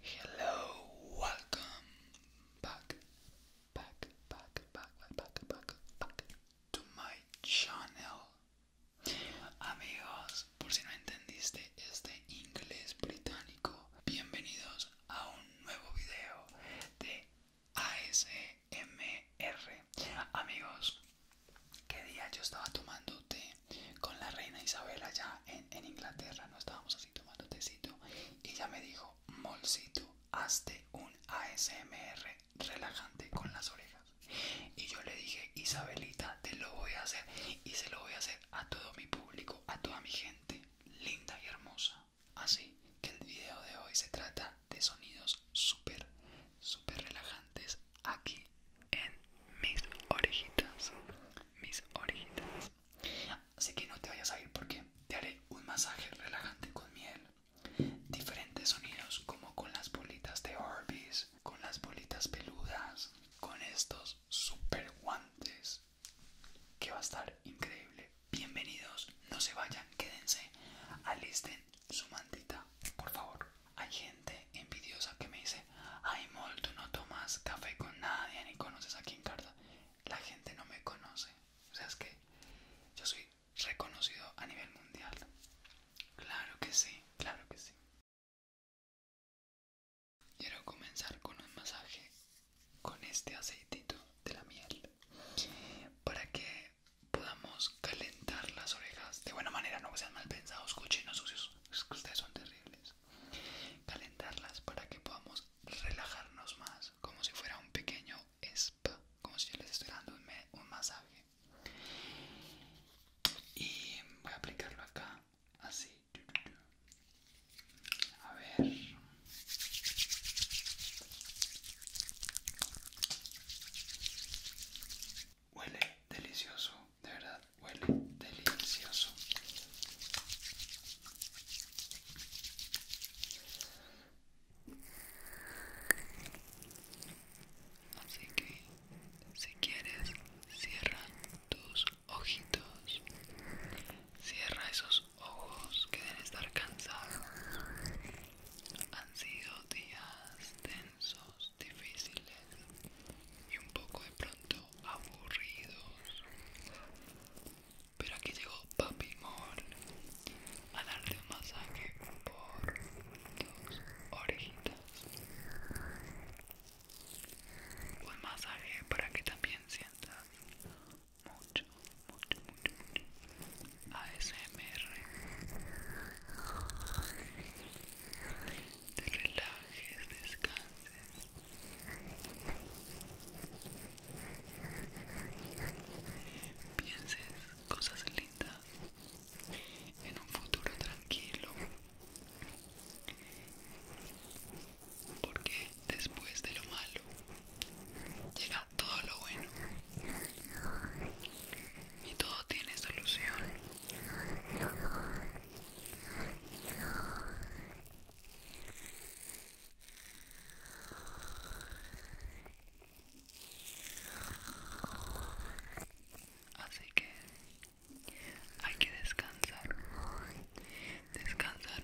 Hello, welcome back, back, back, back, back, back, to my channel. Amigos, por si no entendiste este inglés británico, bienvenidos a un nuevo video de ASMR. Amigos, qué día yo estaba tomando té con la reina Isabela ya en, Inglaterra, no estábamos así tomando tecito y ya me dijo, Molcito, hazte un ASMR relajante con las orejas. Y yo le dije, Isabelita, te lo voy a hacer y se lo voy a hacer a todo mi público, a toda mi gente linda y hermosa. Así que el video de hoy se trata de sonidos súper, súper relajantes aquí en mis orejitas. Mis orejitas. Así que no te vayas a ir porque te haré un masaje relajante con miel. Diferentes sonidos como con las bolitas de Orbis, con las bolitas peludas, con estos super guantes que va a estar increíble bienvenidos, no se vayan, quédense, alisten su mantita, por favor. Hay gente envidiosa que me dice, ay Mol, no tomas café con nadie ni conoces a quien carta. La gente no me conoce, o sea, es que yo soy reconocido a nivel mundial. Claro que sí, claro que sí. Quiero comenzar con un masaje con este aceitito de la miel para que podamos calentar las orejas de buena manera, no sean mal pensados, cochinos sucios, ustedes son terribles. Calentarlas para que podamos relajarnos más, como si fuera un pequeño spa, como si yo les estuviera dando un masaje. Y voy a aplicarlo acá, así. A ver. Huele delicioso, de verdad, huele delicioso. Así que, si quieres, cierra tus ojitos, cierra esos ojos que deben estar cansados. Han sido días tensos, difíciles y un poco de pronto aburridos. Pero aquí llegó Papi Mol a darte un masaje por tus orejitas. Un masaje para que también sientas mucho, mucho, mucho, mucho. ASMR. Te relajes, descanses. Pienses cosas lindas en un futuro tranquilo. Porque después de lo malo Llegamos todo lo bueno y todo tiene solución. Así que hay que descansar, descansar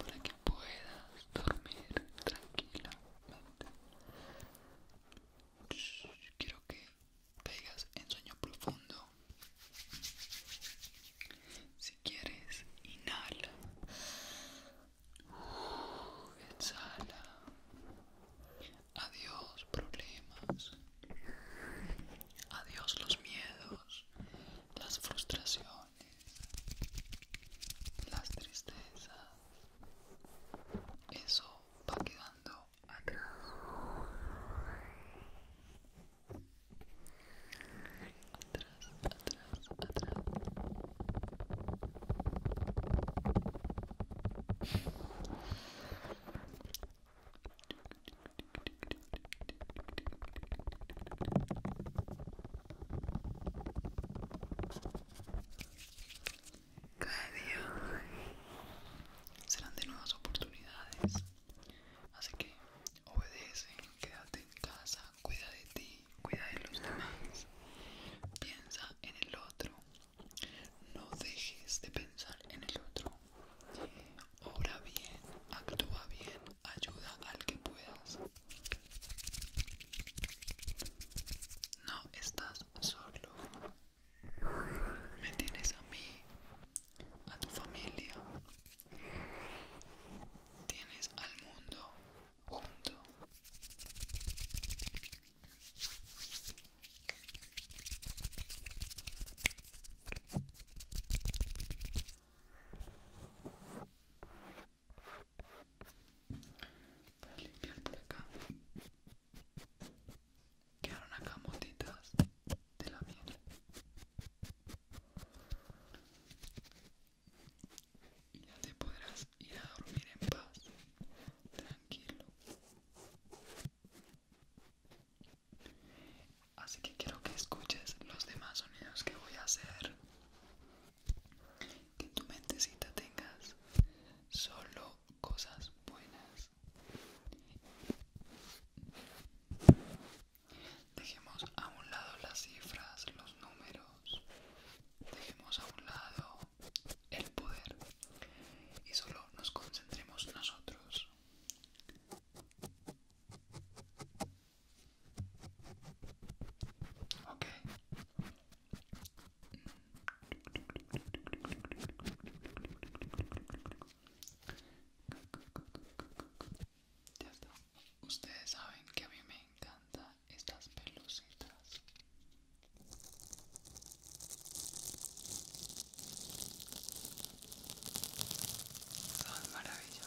para que puedas dormir tranquilamente. Quiero que te digas en sueño profundo. Si quieres, inhala. exhala. Adiós problemas. Adiós los miedos, las frustraciones, las tristezas. Eso va quedando atrás. Atrás, atrás, cada día serán de nuevas oportunidades. Así que obedece, quédate en casa, cuida de ti, cuida de los demás. Piensa en el otro, no dejes de pensar en el otro. Obra bien, actúa bien, ayuda al que puedas. No estás solo. Me tienes a mí, a tu familia. Tienes al mundo junto. Para limpiar por acá quedaron acá motitas de la miel y ya te podrás Ir a dormir en paz, tranquilo. Así que quiero que escuches los demás sonidos que voy a hacer. Que en tu mentecita tengas solo cosas buenas. Dejemos a un lado las cifras, los números. Dejemos a un lado el poder y solo nos concentremos nosotros. Ustedes saben que a mí me encanta estas pelucitas son maravillosas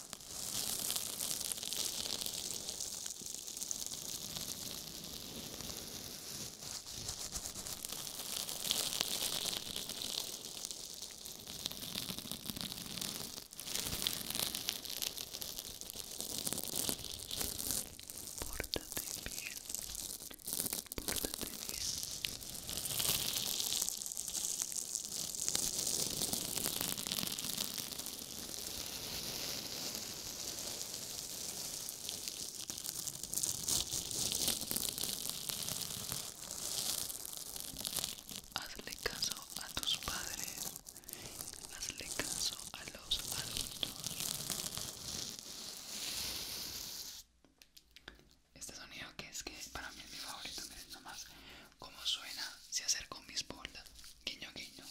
Pórtate bien, pórtate bien. Hazle caso a tus padres, hazle caso a los adultos. Este sonido que es que para mí es mi favorito, miren más. Como suena, se acerco mis bordas Guiño, guiño.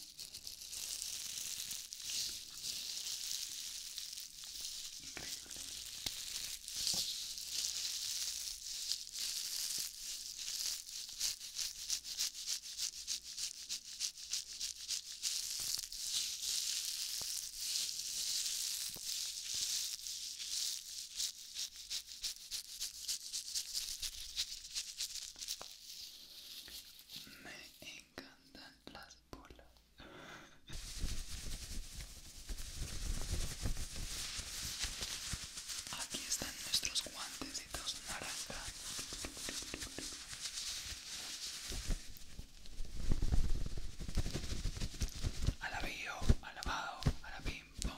Me encantan las bolas. Aquí están nuestros guantecitos naranja. Alabío, alabado, la pom,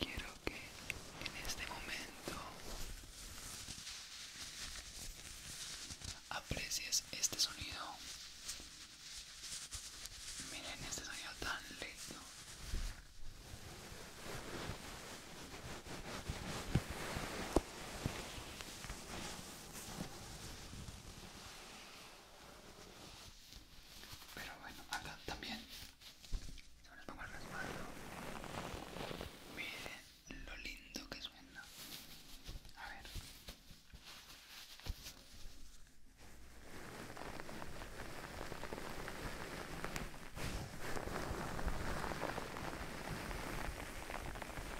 Quiero que en este momento aprecies este sonido. Miren este sonido tan lindo. Pero bueno, acá también se les pongo el respaldo. Miren lo lindo que suena. A ver.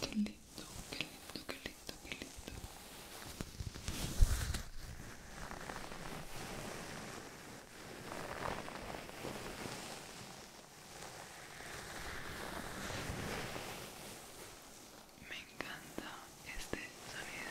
Qué lindo, qué lindo, qué lindo, qué lindo. Me encanta este sonido.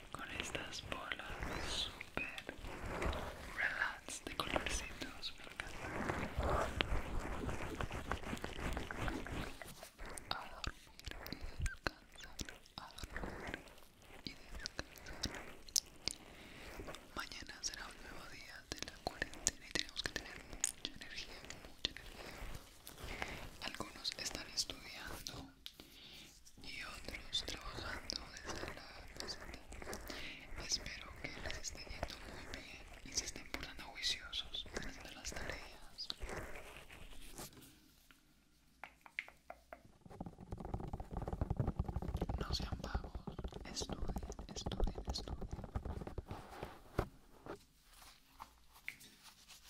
con estas bolas super relax de colorcitos a dormir y descansar y descansar mañana será un nuevo día de la cuarentena y tenemos que tener mucha energía mucha energía algunos están estudiando y otros trabajando desde la casa. Espero que les esté yendo muy bien y se estén poniendo juiciosos durante las tareas. No sean vagos, estudien, estudien, estudien.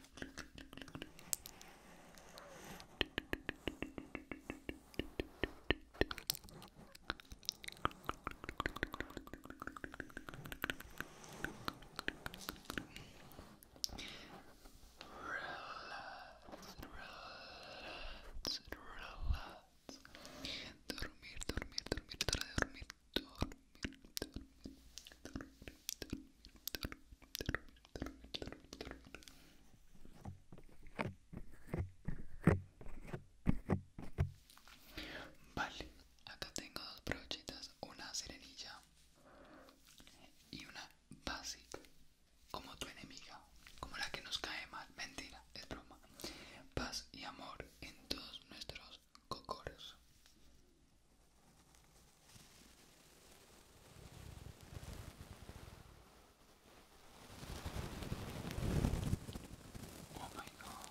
relax, relax. Dormir, dormir, dormir, dormir, dormir. Vale, acá tengo dos brochitas, una serenilla y una básica, como tu enemiga, como la que nos cae mal, mentira, es broma. Paz y amor en todos nuestros cocores. Oh my god.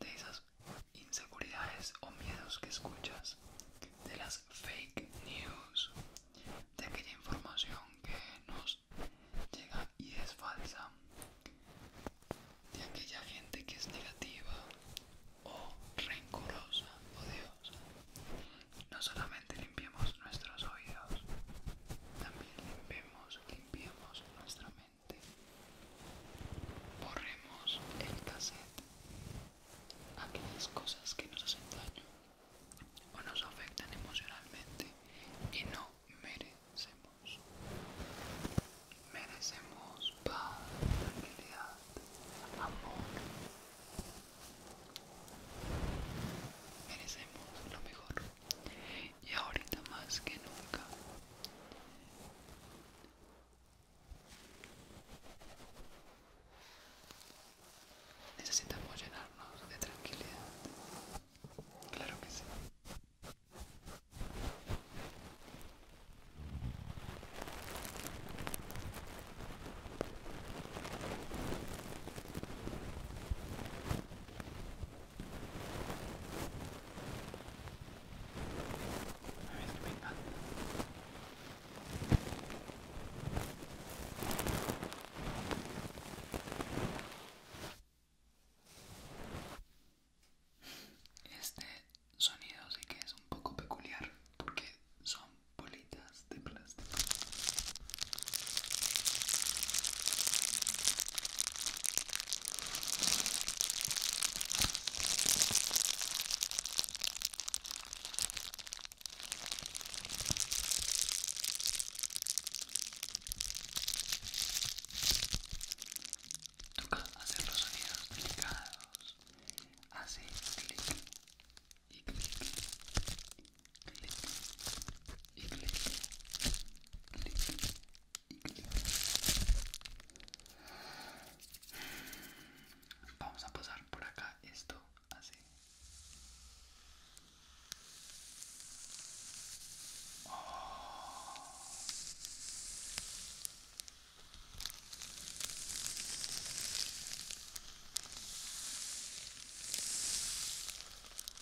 de esas inseguridades o miedos que escuchas, de las fake news, de aquella información que nos llega y es falsa, de aquella gente que es negativa o rencorosa, O oh odiosa. No solamente limpiemos nuestros oídos, también limpiemos, limpiemos nuestra mente borremos el cassette aquellas cosas que nos hacen daño o nos afectan emocionalmente y no merecemos merecemos paz tranquilidad amor merecemos lo mejor y ahorita más que nunca necesitamos llenarnos de tranquilidad claro que sí este sonido sí que es un poco peculiar porque son bolitas de plástico. Toca hacer los sonidos delicados. Así, clic y clic, clic, Vamos a pasar por acá esto así.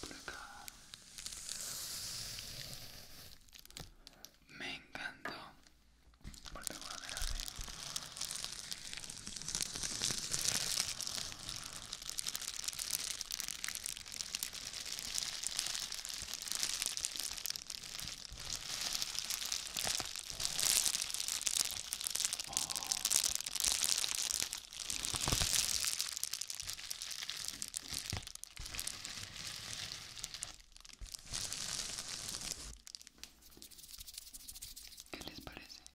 Por acá. Me encantó. Porque voy a ver ¿Qué les parece?